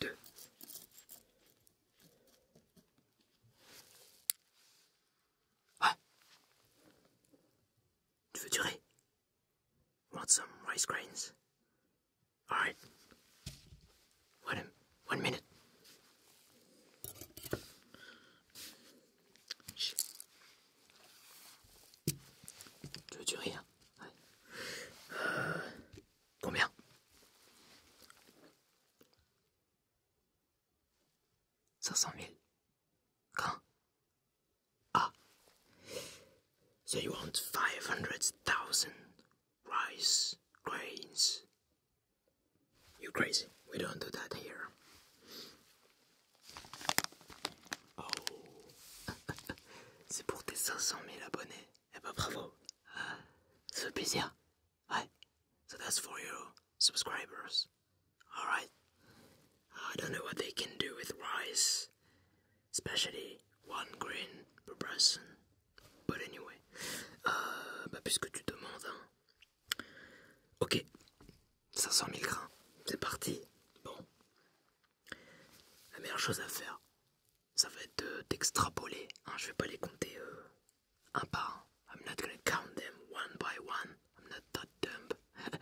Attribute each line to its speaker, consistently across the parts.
Speaker 1: deux, ah. Want some rice grains? All right. One, one minute. Tu So you want five hundred thousand rice grains? You crazy? We don't do that here. Oh C'est pour tes 500 000 abonnés. Eh ben bravo. Ça fait plaisir. Ouais. So that's for you subscribers. Alright. I don't know what they can do with rice. Especially one grain per person. But anyway. Euh, bah puisque tu demandes. Hein. Ok. 500 000 grains. C'est parti. Bon. La meilleure chose à faire, ça va être d'extrapoler. je hein, je vais pas les compter euh, un par un. I'm not vais count them one by one. I'm not that dumb. pas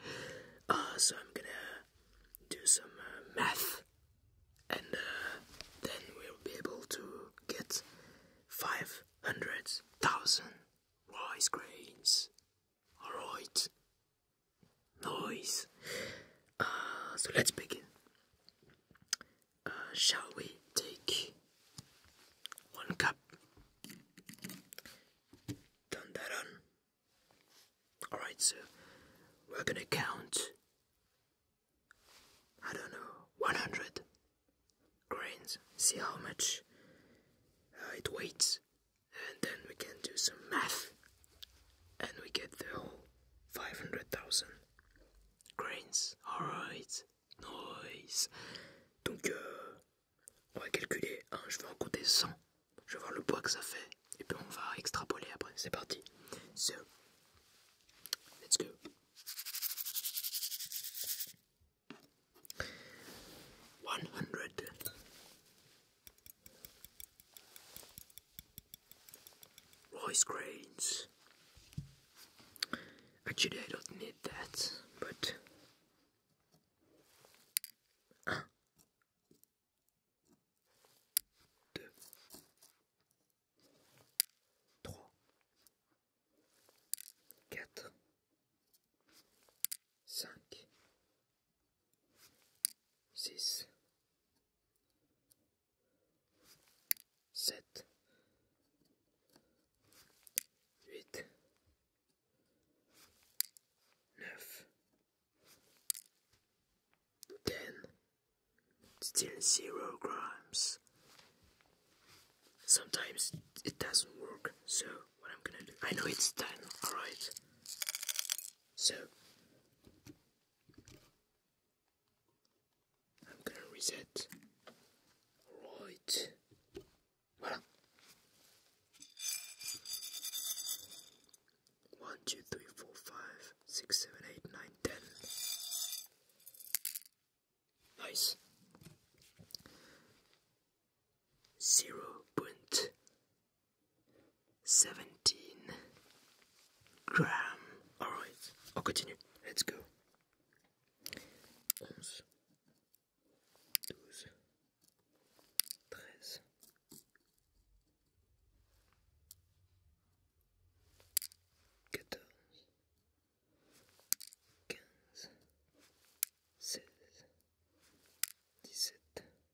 Speaker 1: ah, so I'm gonna do some faire uh, math, and uh, then we'll be able to get 500,000 rice grains. All right. noise. Uh, so let's begin. Uh, shall we take one cup? Done that on. Alright, so we're gonna count. I don't know, 100 grains. See how much uh, it weighs. and then we can do some math and we get the whole 500,000 grains. Alright, nice. Donc, euh, on va calculer. Hein, je vais en compter 100. Je vais voir le poids que ça fait. Et puis, on va extrapoler après. C'est parti. So, let's go. 100 rice grains. Actually, I don't need that, but. Ah. Six, seven, eight, nine, ten. sept, huit, still zero grams. Sometimes it doesn't work, so what I'm gonna do? I know it's ten, alright. So I'm gonna reset. Right. Voila. One, two, three, four, five, six, seven, eight, nine, ten. Nice. Zero point seventeen gram. All right, I'll continue. Let's go. 12, 13, 14, 15, 16, 17,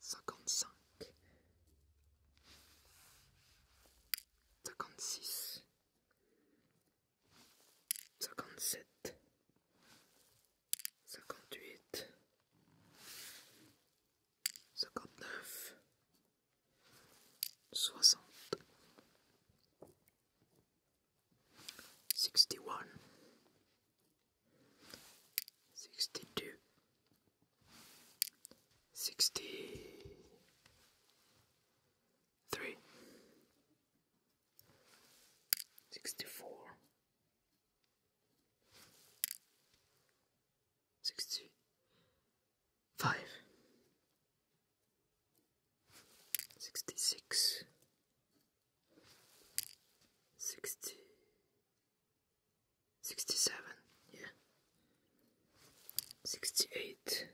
Speaker 1: cinquante-cinq, cinquante-six, cinquante-sept, cinquante-huit, cinquante-neuf, soixante, sixty-one, sixty-two. 63 sixty three, sixty four, sixty five, sixty six, sixty 67, yeah. 68.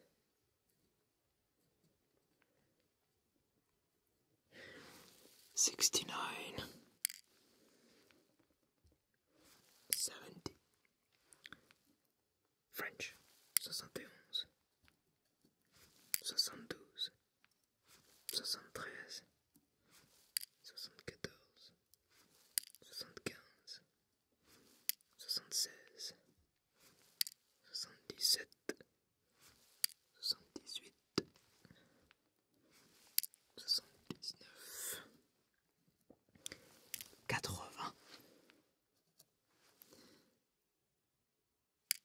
Speaker 1: Seventy. French, Seventy-one. Seventy-two. Seventy-three. 74 75 76 77 78 79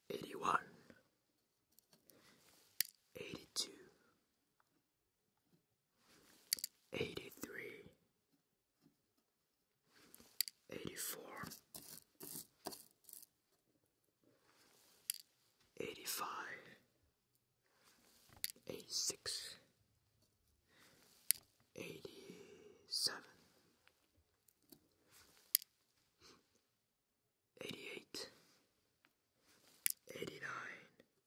Speaker 1: 80 81 82 Eighty three, eighty four, eighty five, eighty six, eighty seven, eighty eight, eighty nine.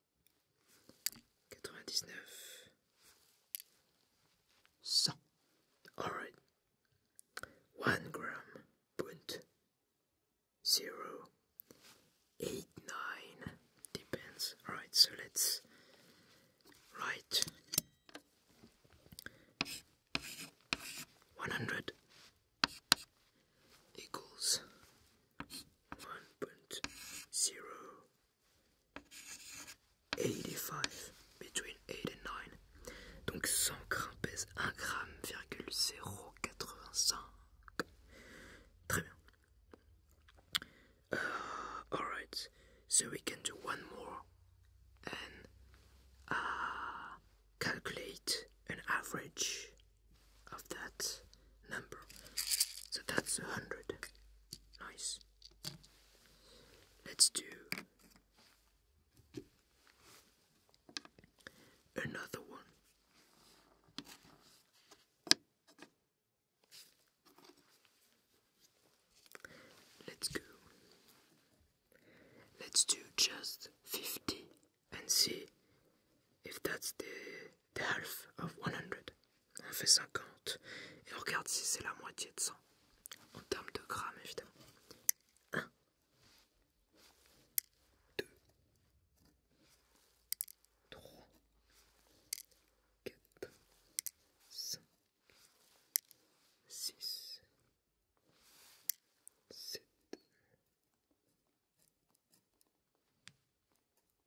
Speaker 1: 99 100 Alright 1 gram point 0 depends Alright so let's write 100 equals 1.0 85 between eight and 9 grammes pèse 1 gramme 0,085 très uh, alright so we can do one more and uh, calculate an average of that number so that's 100 Nice. Let's do another one. Let's go. Let's do just 50 and see if that's the The half of 100. On fait 50. Et on regarde si c'est la moitié de 100. En termes de grammes, évidemment. 1. 2. 3. 4. 5. 6. 7.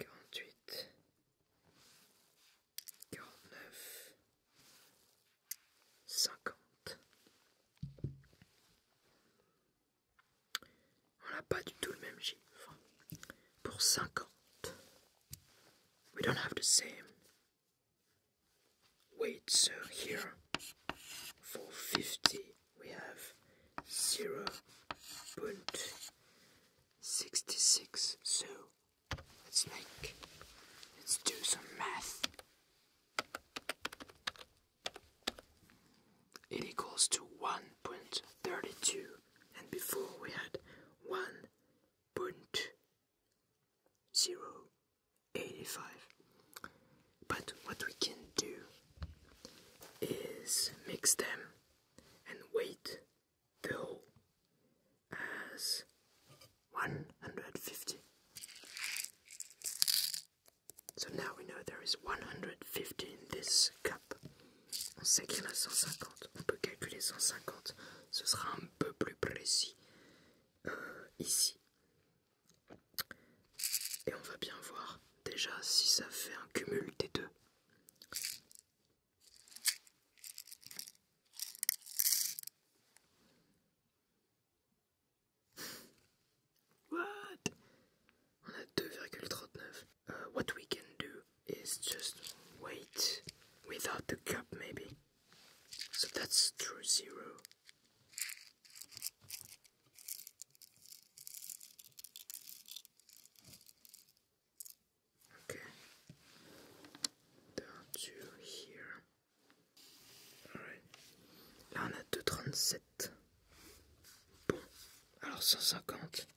Speaker 1: quarante We don't have the same. weight. so here for fifty we have zero point 66. So let's make, let's do some math. It equals to 1.32, and before we had 1.085. But what we can do is mix them and wait Go as 150. So now we know there is 150 in this cup. On sait qu'il y en a 150. On peut calculer 150. Ce sera un peu plus précis euh, ici. Et on va bien voir déjà si ça fait un cumul des deux. What? 2,39. Uh, what we can do is just wait without the cup, maybe. So that's true zero. OK. Là on a 2,37. Bon, alors 150.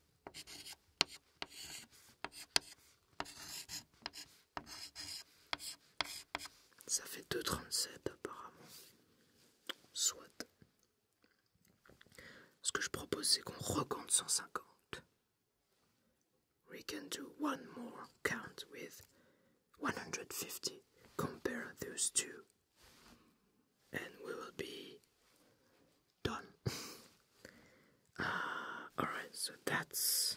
Speaker 1: Ça fait 2,37 apparemment. Soit. Ce que je propose, c'est qu'on recompte 150. We can do one more count with 150. Compare those two, and we will be done. Ah, alright, so that's.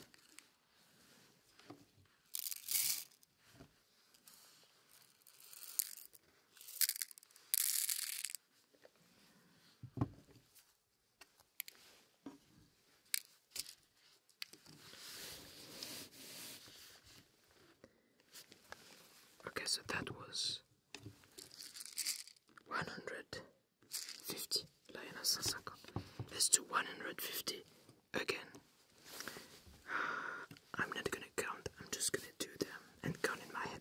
Speaker 1: Okay, so that was 150 Lioness Sasaka. Let's do 150 again. I'm not gonna count, I'm just gonna do them and count in my head.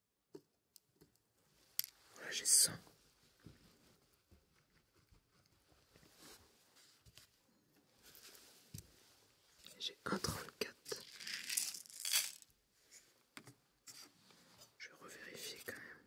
Speaker 1: voilà j'ai 100 et j'ai 134 je vais revérifier quand même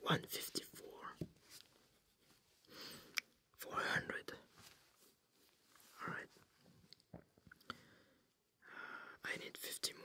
Speaker 1: one fifty four, four hundred. All right. I need fifty more.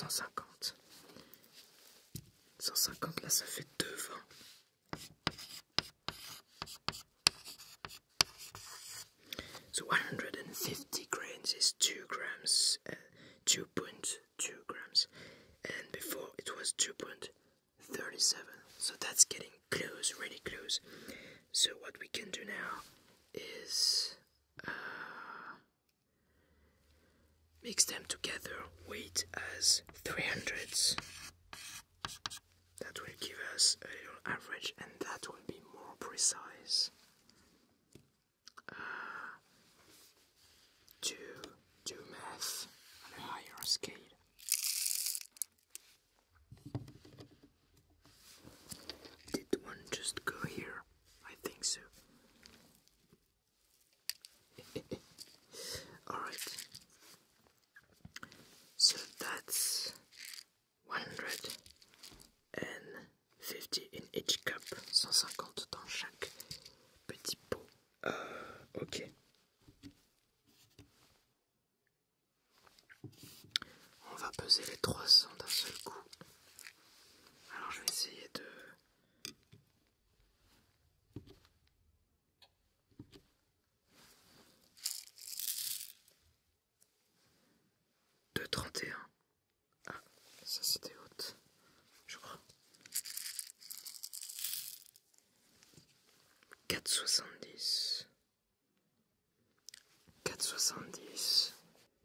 Speaker 1: 150. 150, là ça fait 2 So 150 grains is 2 grams, 2.2 uh, grams, and before it was 2.37. So that's getting close, really close. So what we can do now is mix them together, weight as 300s. That will give us a little average, and that will be more precise. to uh, do math on a higher scale. Did one just go here? I think so. Alright. So that's 150 in each cup, 150 dans chaque pot. Euh, ok. On va peser les trois cents d'un seul coup. Alors je vais essayer de... De 31. Ah, ça c'était haute, je crois. 4,70. 4,70.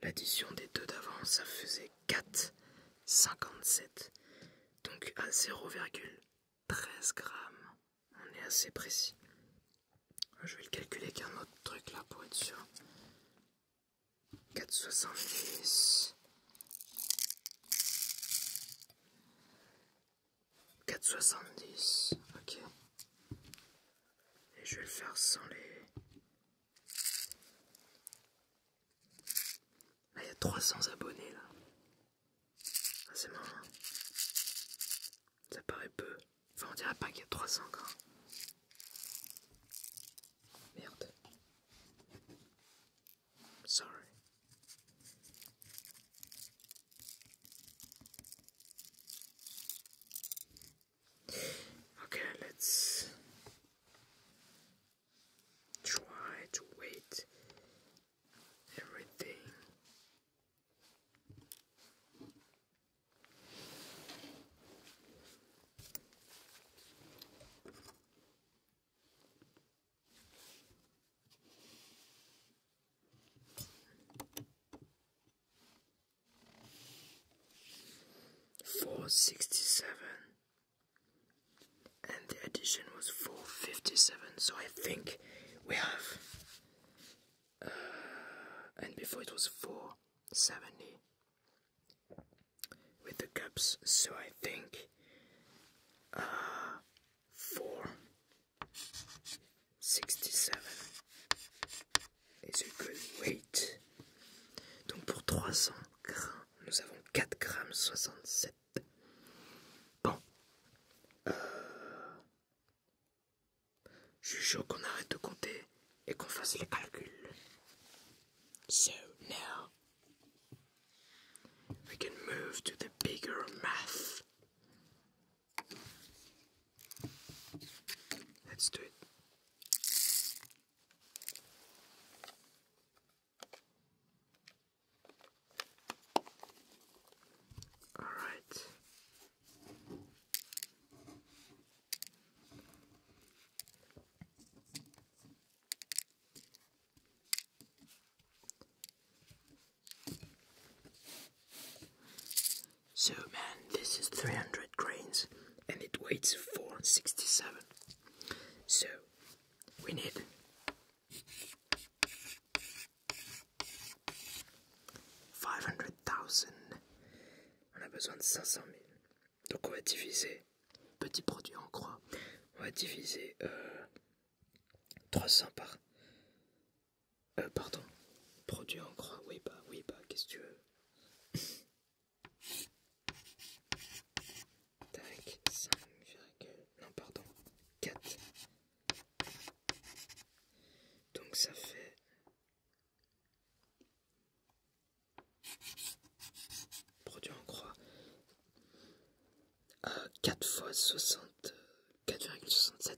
Speaker 1: L'addition des deux d'avant, ça faisait 4,57. Donc à 0,13 grammes. On est assez précis. Je vais le calculer avec un autre truc là pour être sûr. 4,70. 4,70. Ok. Et je vais le faire sans les... Ah, il y a 300 abonnés, là. Ah, c'est marrant. Hein. Ça paraît peu. Enfin, on dirait pas qu'il y a 300 quand. Merde. Sorry. Okay, let's try to wait everything. 467 and the addition was 457 so I think we have uh, and before it was 470 with the cups so I think uh, 4 67 is a good weight. Donc pour 300 grains, nous avons 4 grammes 67. Bon. Euh, je suis chaud qu'on arrête de compter et qu'on fasse les calculs. So now we can move to the bigger math. Let's do it. All right. So man, this is 300 grains and it weighs 467. So we need Five hundred thousand. On a besoin de 500 000. Donc on va diviser. Petit produit en croix. On va diviser euh, 300 par Euh, pardon. Produit en croix. Oui, bah, oui, bah, qu'est-ce que tu veux Tac, 5, non, pardon, 4. Donc ça fait... Produit en croix. 4 euh, fois 60... 4,67.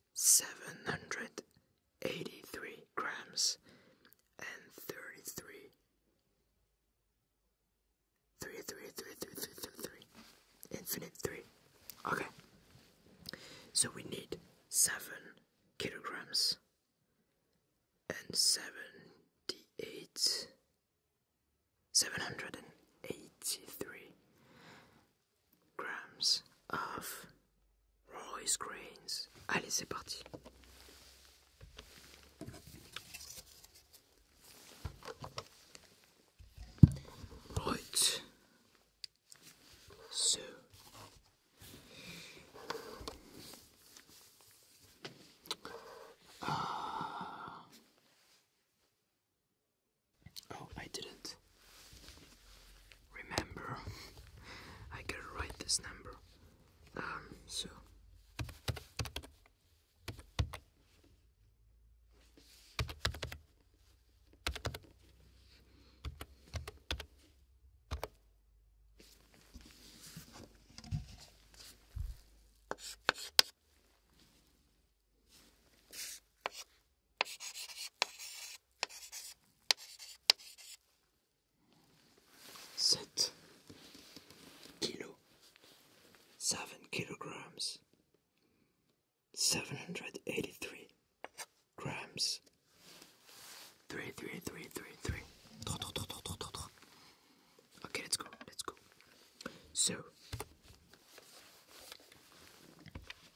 Speaker 1: 783 grams and 33 infinite 3 okay so we need 7 kilograms and 78 783 grams of rice grains. Allez, c'est parti. Right. So Oh, I didn't remember. I gotta write this number. Um, so. Sept kilo, seven kilograms, seven hundred eighty-three grams, three, three, three, three, three. Okay, let's go, let's go. So.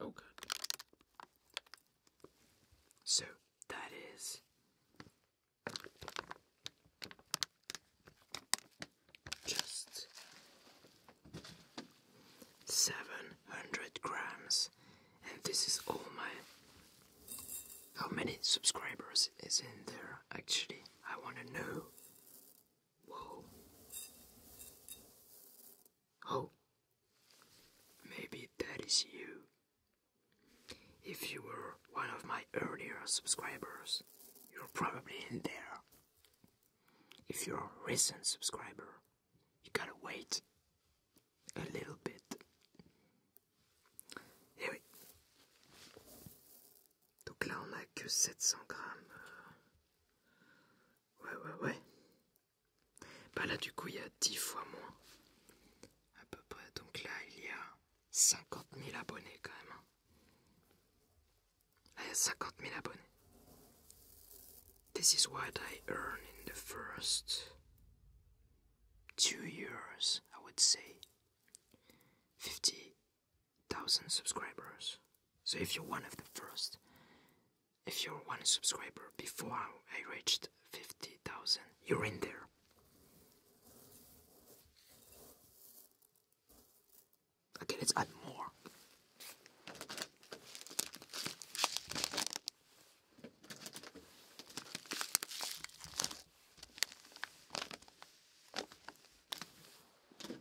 Speaker 1: Okay, oh, So that is just seven hundred grams, and this is all my. How many subscribers is in there actually? I want to know. Whoa. Oh, maybe that is you. If you were one of my earlier subscribers, you're probably in there. If you're a recent subscriber, you gotta wait a little bit. Anyway, Donc là, on n'a que 700 grammes. Euh. Ouais, ouais, ouais. Bah là, du coup, il y a 10 fois moins. À peu près. Donc là, il y a 50 000 abonnés quand même. Là, hein. ah, il y a 50 000 abonnés. This is what I earn in the first two years, I would say. 50 thousand subscribers. So if you're one of the first, if you're one subscriber before I reached 50,000, you're in there. Okay, let's add more.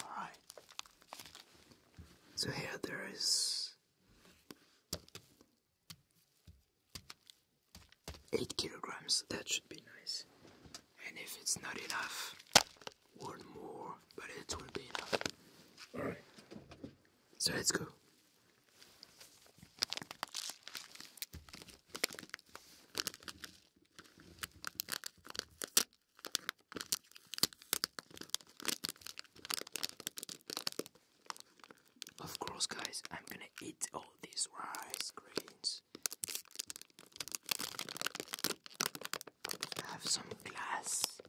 Speaker 1: All right. So here there is eight kilograms. That should be nice. And if it's not enough, one more, but it will be enough. All right. So let's go. Of course, guys, I'm gonna eat all these rice grains. I have some glass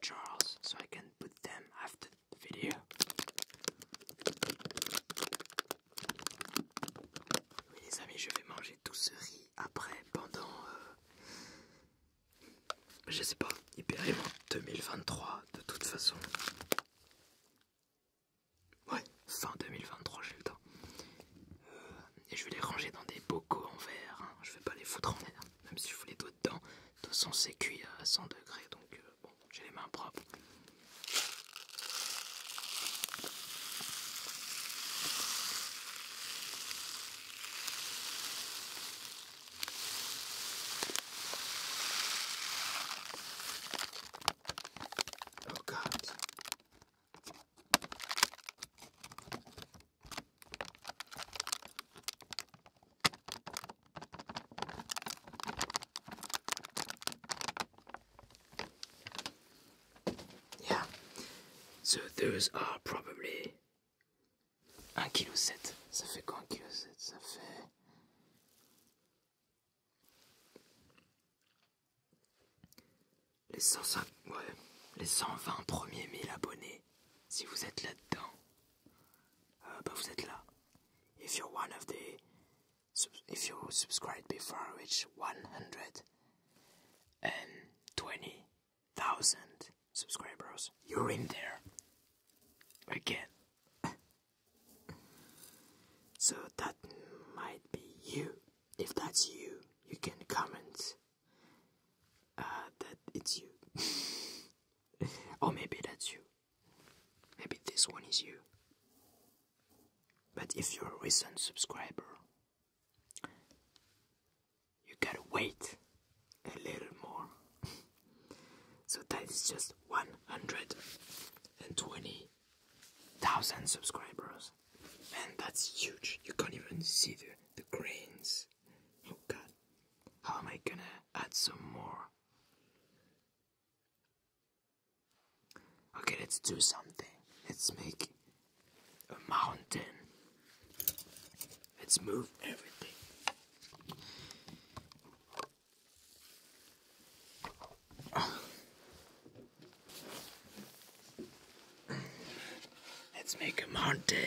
Speaker 1: jars so I can put them after Oui les amis, je vais manger tout ce riz après pendant... Euh, je sais pas, aimant, 2023 de toute façon. Ouais, fin 2023 j'ai le temps. Euh, et je vais les ranger dans des bocaux en verre. Hein. Je vais pas les foutre en verre, même si je vous les dois dedans. De toute façon c'est cuit à 100 degrés donc... Euh, j'ai les mains propres. Oh God. Yeah. So those are ah, probably 1,7 kg. Ça fait quoi 1,7 kg Ça fait. Les 105, ouais, les 120 premiers 1000 abonnés, si vous êtes là-dedans, euh, bah vous êtes là. If you're one of the So if you subscribe before I reach 120,000 subscribers, you're in there again. so that might be you. If that's you, you can comment uh, that it's you. or maybe that's you. Maybe this one is you. But if you're a recent subscriber, you gotta wait a little more. so that is just 120,000 subscribers. and that's huge. You can't even see the, the grains. Oh god. How am I gonna add some more? Okay, let's do something. Let's make a mountain. Let's move everything. Let's make a mountain.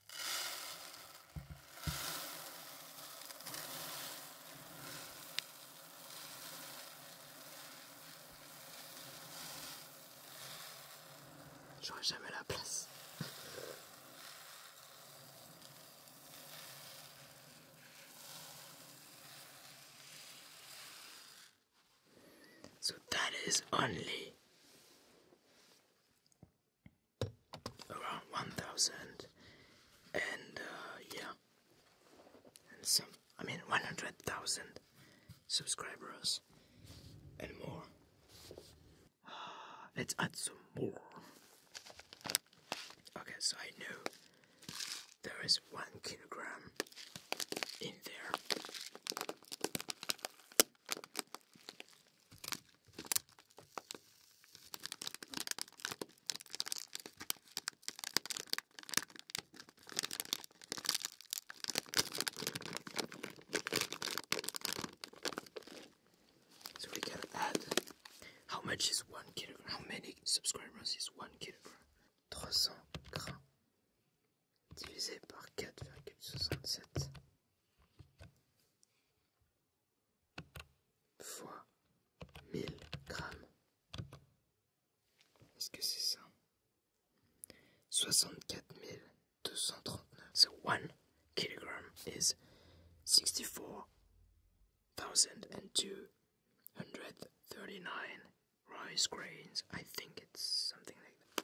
Speaker 1: J'aurai jamais la place. So that is only around 1000 and uh, yeah and some I mean 100,000 subscribers and more let's add some more okay so I know there is one kilogram in there so we can add how much is one kilogram? How many subscribers is one kilogram? 300 grammes divisé par 4,67 fois 1000 grammes. Est-ce que c'est ça 1 kilogram is 64,239 rice grains. I think it's something like that.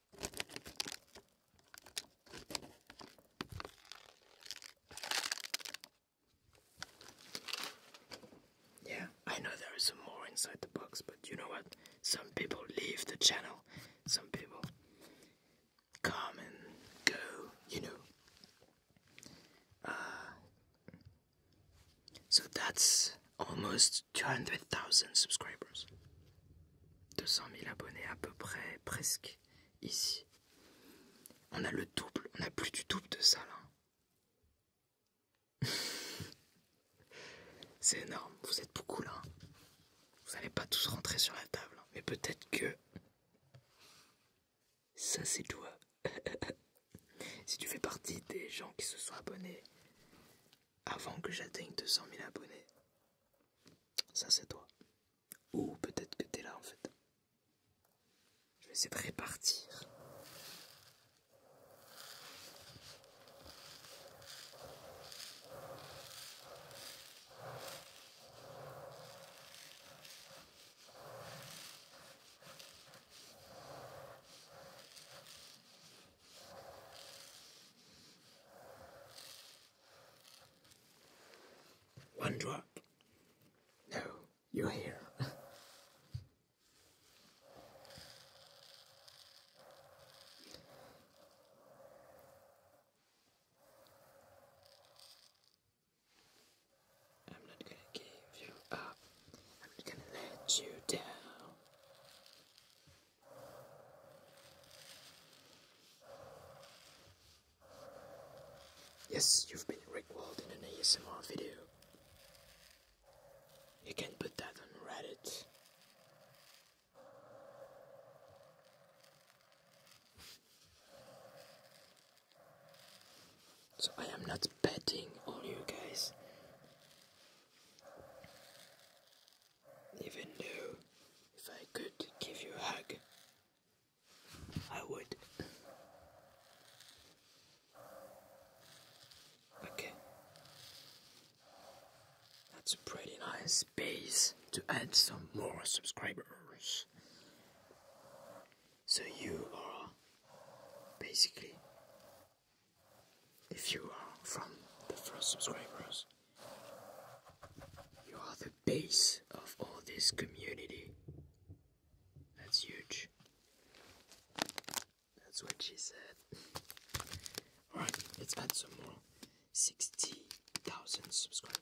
Speaker 1: Yeah, I know there is some more inside the box, but you know what? Some people leave the channel, some people come and go, you know. Uh, so that's almost 200,000 subscribers. 200 000 abonnés à peu près, presque. ici. On a le double, on a plus du double de ça là. C'est énorme, vous êtes beaucoup là. Vous n'allez pas tous rentrer sur la table, mais peut-être que ça c'est toi. si tu fais partie des gens qui se sont abonnés avant que j'atteigne 200 000 abonnés, ça c'est toi. Ou oh, peut-être que tu es là en fait. Je vais essayer de répartir. One drop. No, you're here. I'm not gonna give you up. I'm not gonna let you down. Yes, you've been rickrolled in an ASMR video. You can put that on Reddit. So I am not betting on you guys even knew if I could give you a hug, I would. Okay. That's a pretty nice base to add some more subscribers. So you are basically, if you are from the first subscribers, you are the base of all this community. That's huge. That's what she said. Alright, let's add some more. 60,000 subscribers.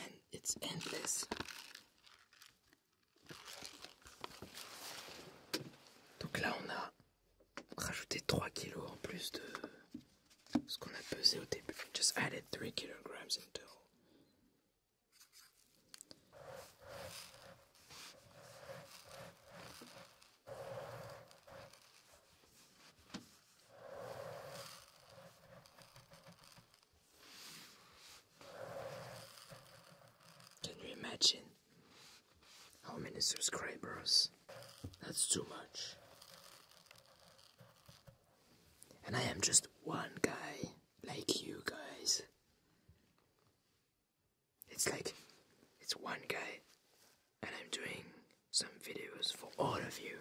Speaker 1: and it's endless. Donc là, on a rajouté 3 kg en plus de ce qu'on a pesé au début. Just added 3 kg in total. Can you imagine how many subscribers? That's too much. And I am just one guy like you guys. It's like it's one guy and I'm doing some videos for all of you,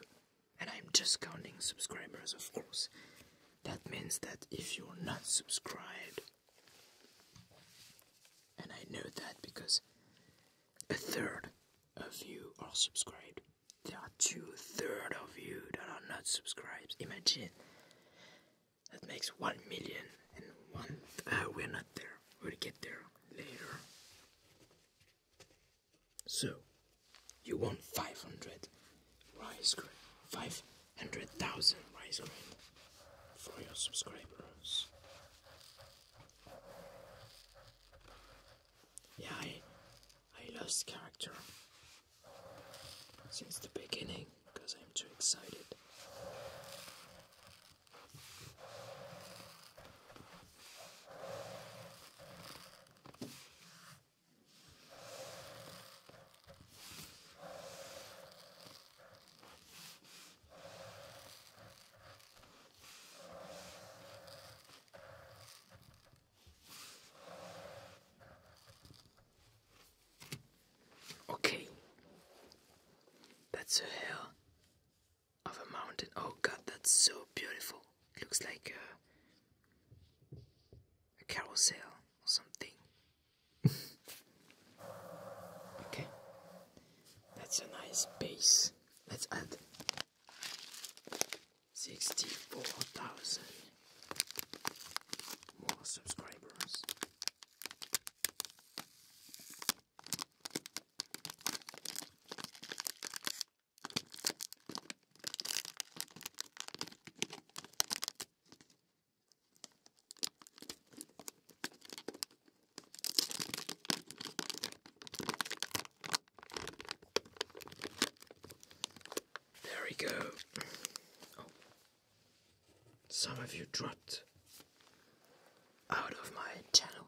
Speaker 1: and I'm just counting subscribers, of course. That means that if you're not subscribed, and I know that because a third of you are subscribed, there are two third of you that are not subscribed. Imagine that makes one million and one. Uh, we're not there. We'll get there later. So, you want 500 rice grain, 500,000 rice grain for your subscribers. Yeah, I, I lost character since the beginning because I'm too excited. Okay, that's a hair of a mountain. Oh god, that's so beautiful. looks like a, carousel or something. okay, that's a nice base. Let's add 64,000 more subscribers. There we go. Oh. Some of you dropped out of my channel.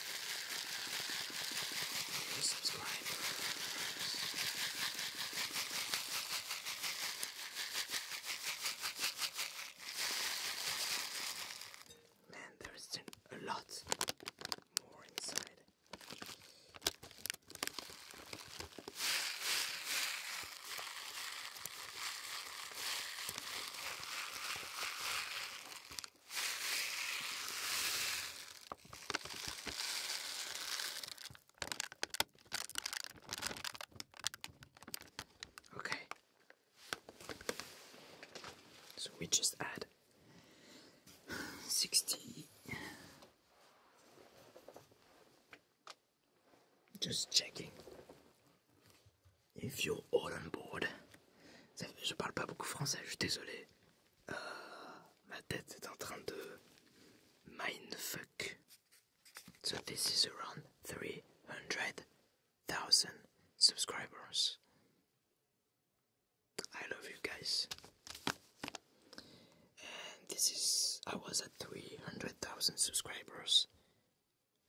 Speaker 1: new subscribers. Man, there's a lot more inside. Okay. So we just add sixty. Just checking. If you're all Je parle pas beaucoup français, je suis désolé. Euh, ma tête est en train de So this is around 300,000 subscribers. I love you guys. And this is I was at 300,000 subscribers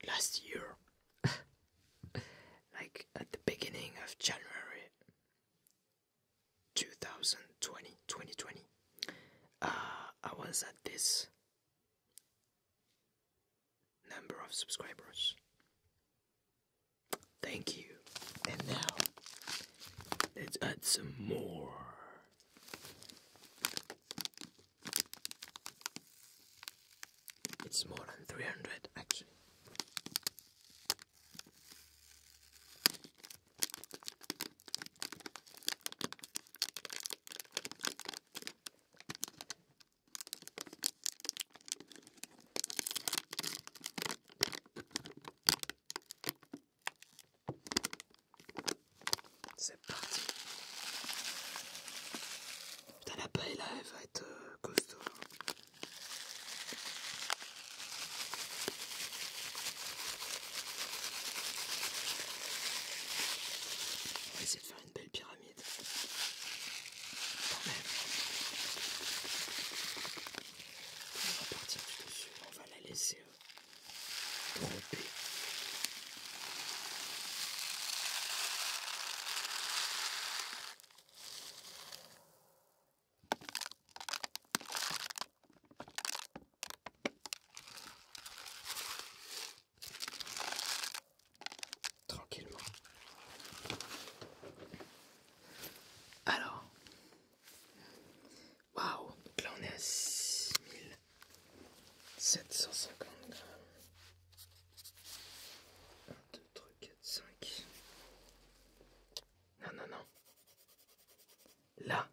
Speaker 1: last year. like at the beginning of January 2020, 2020, uh, I was at this number of subscribers. Thank you. And now, let's add some more. It's more than 300 actually. C'est parti. Putain la paille là elle va être euh, costaud. On va essayer de faire une belle pyramide. On va partir du dessus, on va la laisser euh, tromper. Tranquillement. Alors, waouh, là on est à 6750 grammes. 4, 5. Non, non, non. Là,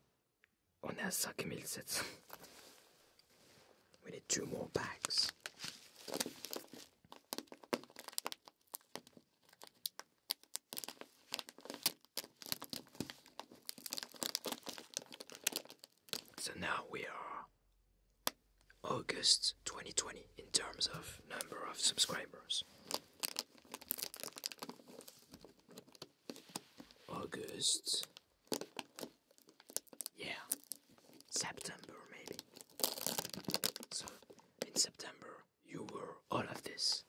Speaker 1: We need two more bags. So now we are August 2020 in terms of number of subscribers. August. Yeah. September maybe. So in September you were all of this.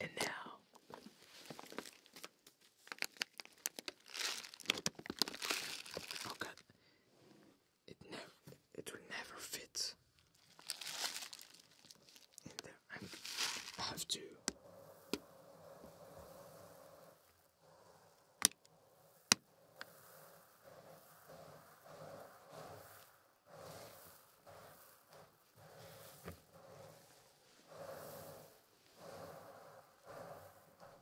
Speaker 1: And now Oh it never, it will never fit in there. i have to.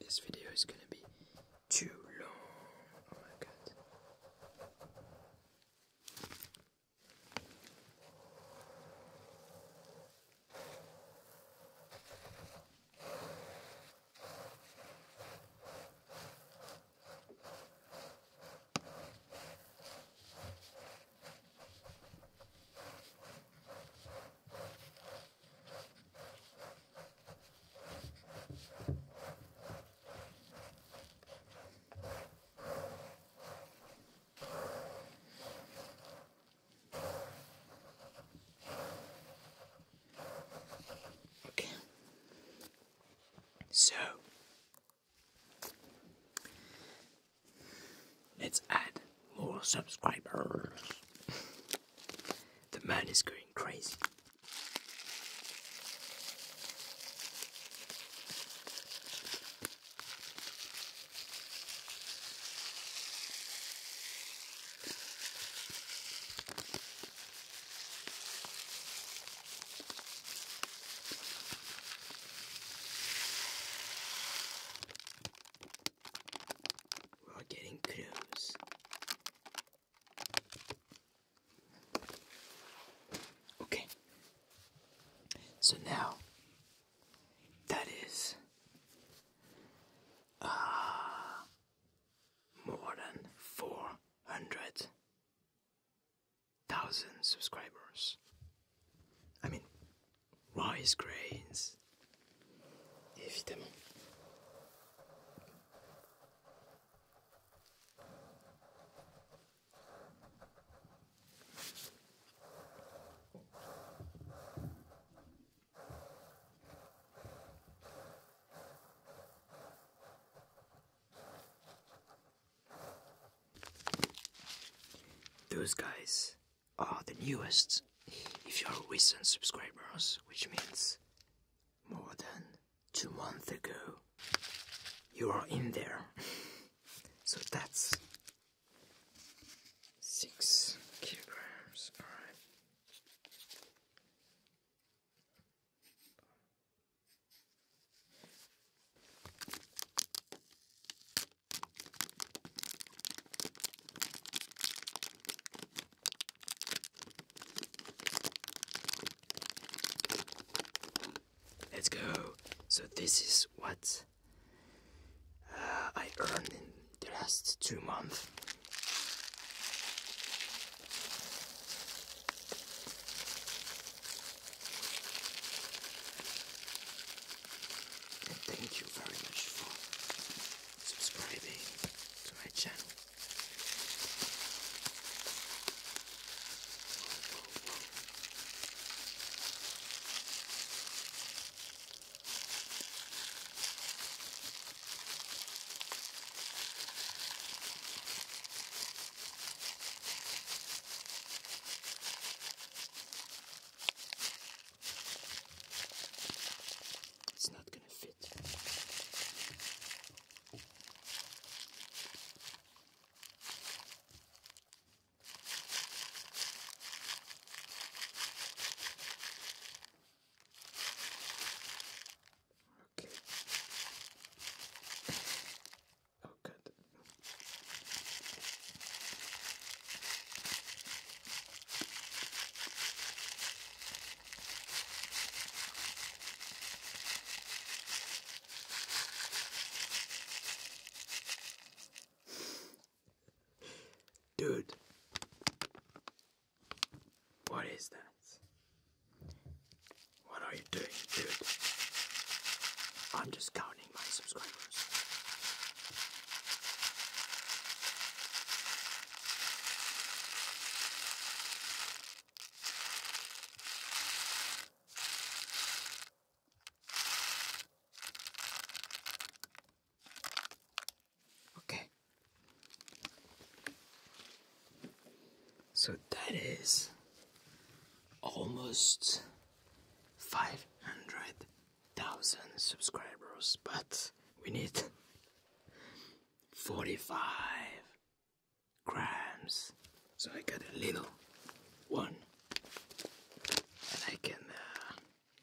Speaker 1: This video is gonna be too long. Oh my god. Okay. So let's add more subscribers. The man is going crazy. We're getting close. Okay. So now that is uh, more than 400,000 subscribers. I mean, rice grains those guys are the newest. If you're recent subscribers, which means more than two months ago, you are in there. so that's six kilograms. All right. Let's go. So this is what uh, I earned in the last two months. thank you very much for subscribing to my channel. It's not going to fit. Okay. Oh, Dude, what is that? What are you doing, dude? I'm just counting my subscribers. Okay. So that is almost 500,000 subscribers, but we need 45 grams. So I got a little one, and I can uh,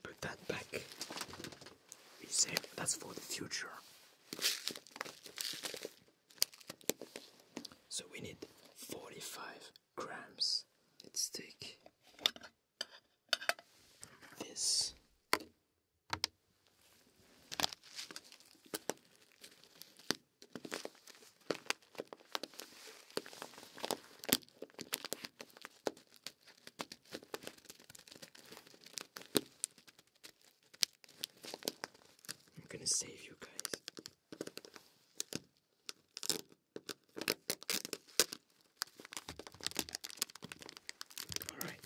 Speaker 1: put that back. We save that's for the future. So we need 45 grams. Let's take this I'm going to save you guys. All right.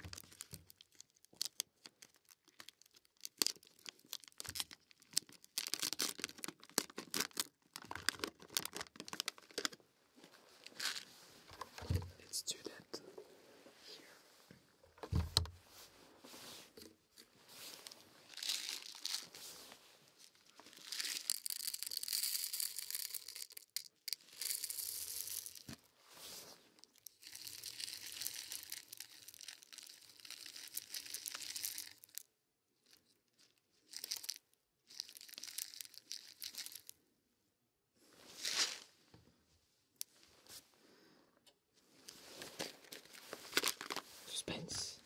Speaker 1: Let's do that here. Suspense.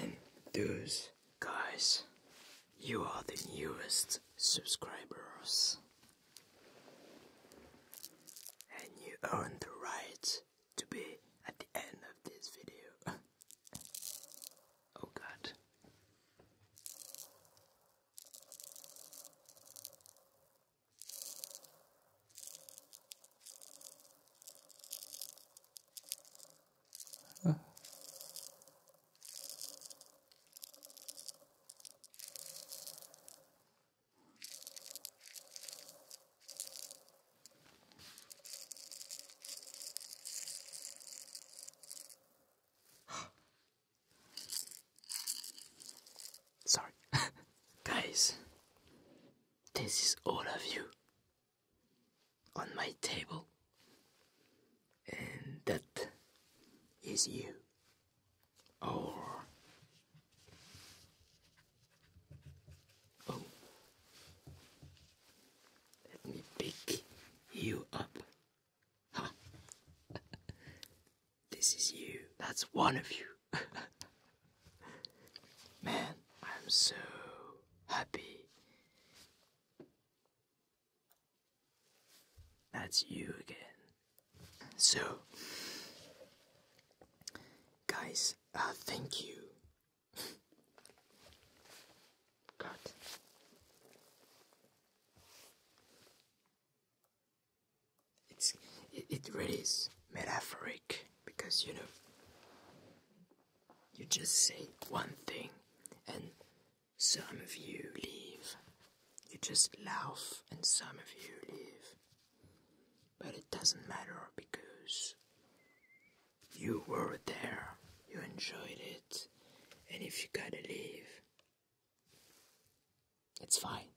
Speaker 1: And those guys, you are the newest subscribers. And you earn the right to be at the end of this video. oh god. Sorry, guys, this is all of you on my table, and that is you. Or oh, let me pick you up. this is you. That's one of you. Man, I'm so happy that's you again. So, guys, uh, thank you. God. It's, it really is metaphoric because, you know, you just say one thing, and some of you leave. You just laugh, and some of you leave. But it doesn't matter because you were there, you enjoyed it, and if you gotta leave, it's fine.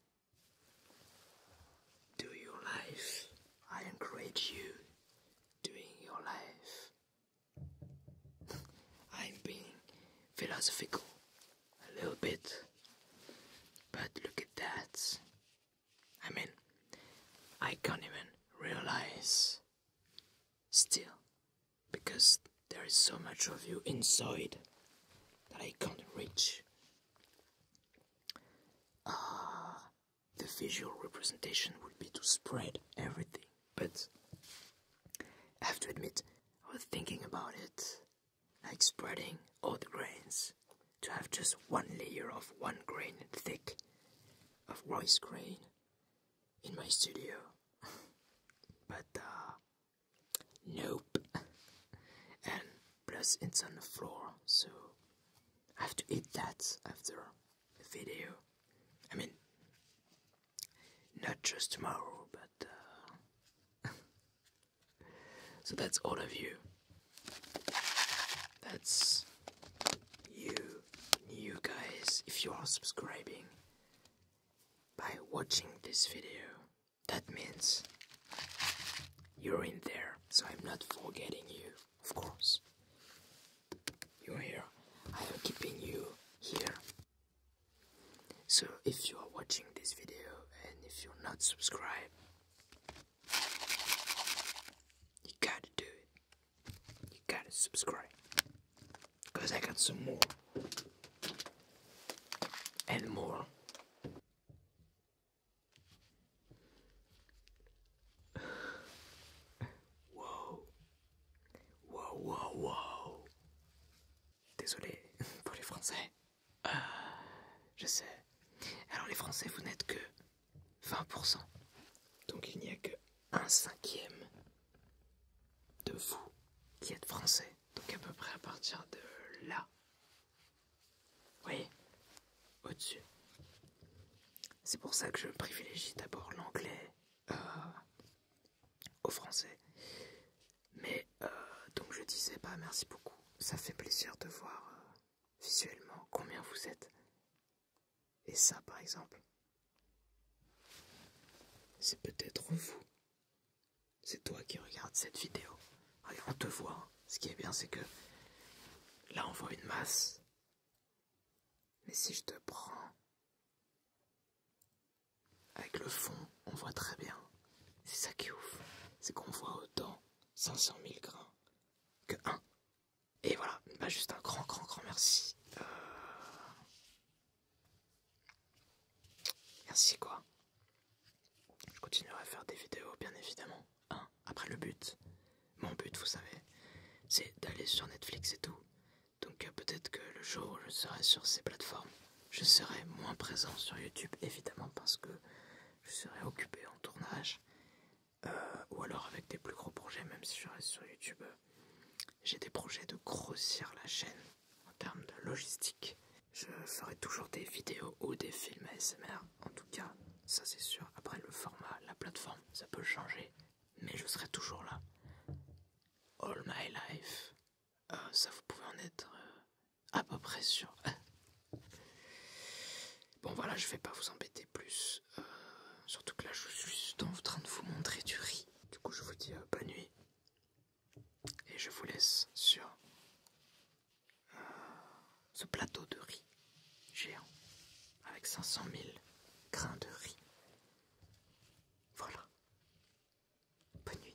Speaker 1: Do your life. I encourage you doing your life. I'm being philosophical a little bit, but look at that. I mean, I can't even realize still because there is so much of you inside that I can't reach. Ah, the visual representation would be to spread everything. But I have to admit, I was thinking about it like spreading all the grains to have just one layer of one grain thick of rice grain in my studio. but uh, nope. and plus it's on the floor, so I have to eat that after video. I mean, not just tomorrow, but. Uh, so that's all of you. That's you, you guys, if you are subscribing by watching this video. That means you're in there, so I'm not forgetting you of course. You're here. I am keeping you here. So if you are watching this video and if you're not subscribed, you gotta do it. You gotta subscribe. Because I got some more. And more. Wow. Wow, wow, wow. Désolé pour les Français. Ah, je sais. Alors les Français, vous n'êtes que 20%. Donc il n'y a que un cinquième de vous qui êtes français. Donc à peu près à partir de là. Oui, au-dessus. C'est pour ça que je privilégie d'abord l'anglais euh, au français. Mais euh, donc je disais, bah merci beaucoup. Ça fait plaisir de voir euh, visuellement combien vous êtes. Et ça, par exemple, c'est peut-être vous. C'est toi qui regardes cette vidéo. on te voit. Ce qui est bien, c'est que là, on voit une masse. Mais si je te prends... Avec le fond, on voit très bien. C'est ça qui est ouf. C'est qu'on voit autant 500 000 grains que 1. Et voilà, bah juste un grand, grand, grand merci. Euh, merci quoi. Je continuerai à faire des vidéos, bien évidemment. Après le but, mon but vous savez, c'est d'aller sur Netflix et tout. Donc euh, peut-être que le jour où je serai sur ces plateformes, je serai moins présent sur YouTube évidemment parce que je serai occupé en tournage. Euh, ou alors avec des plus gros projets, même si je reste sur YouTube, j'ai des projets de grossir la chaîne en termes de logistique. Je ferai toujours des vidéos ou des films ASMR, en tout cas, ça c'est sûr. Après le format, la plateforme, ça peut changer, mais je serai toujours là. All my life. Euh, ça, vous pouvez en être euh, à peu près sûr. bon, voilà, je vais pas vous embêter plus. Euh, surtout que là, je suis en train de vous montrer du riz. Du coup, je vous dis bonne nuit. Et je vous laisse sur ce plateau de riz géant avec 500 000 grains de riz. Voilà. Bonne nuit.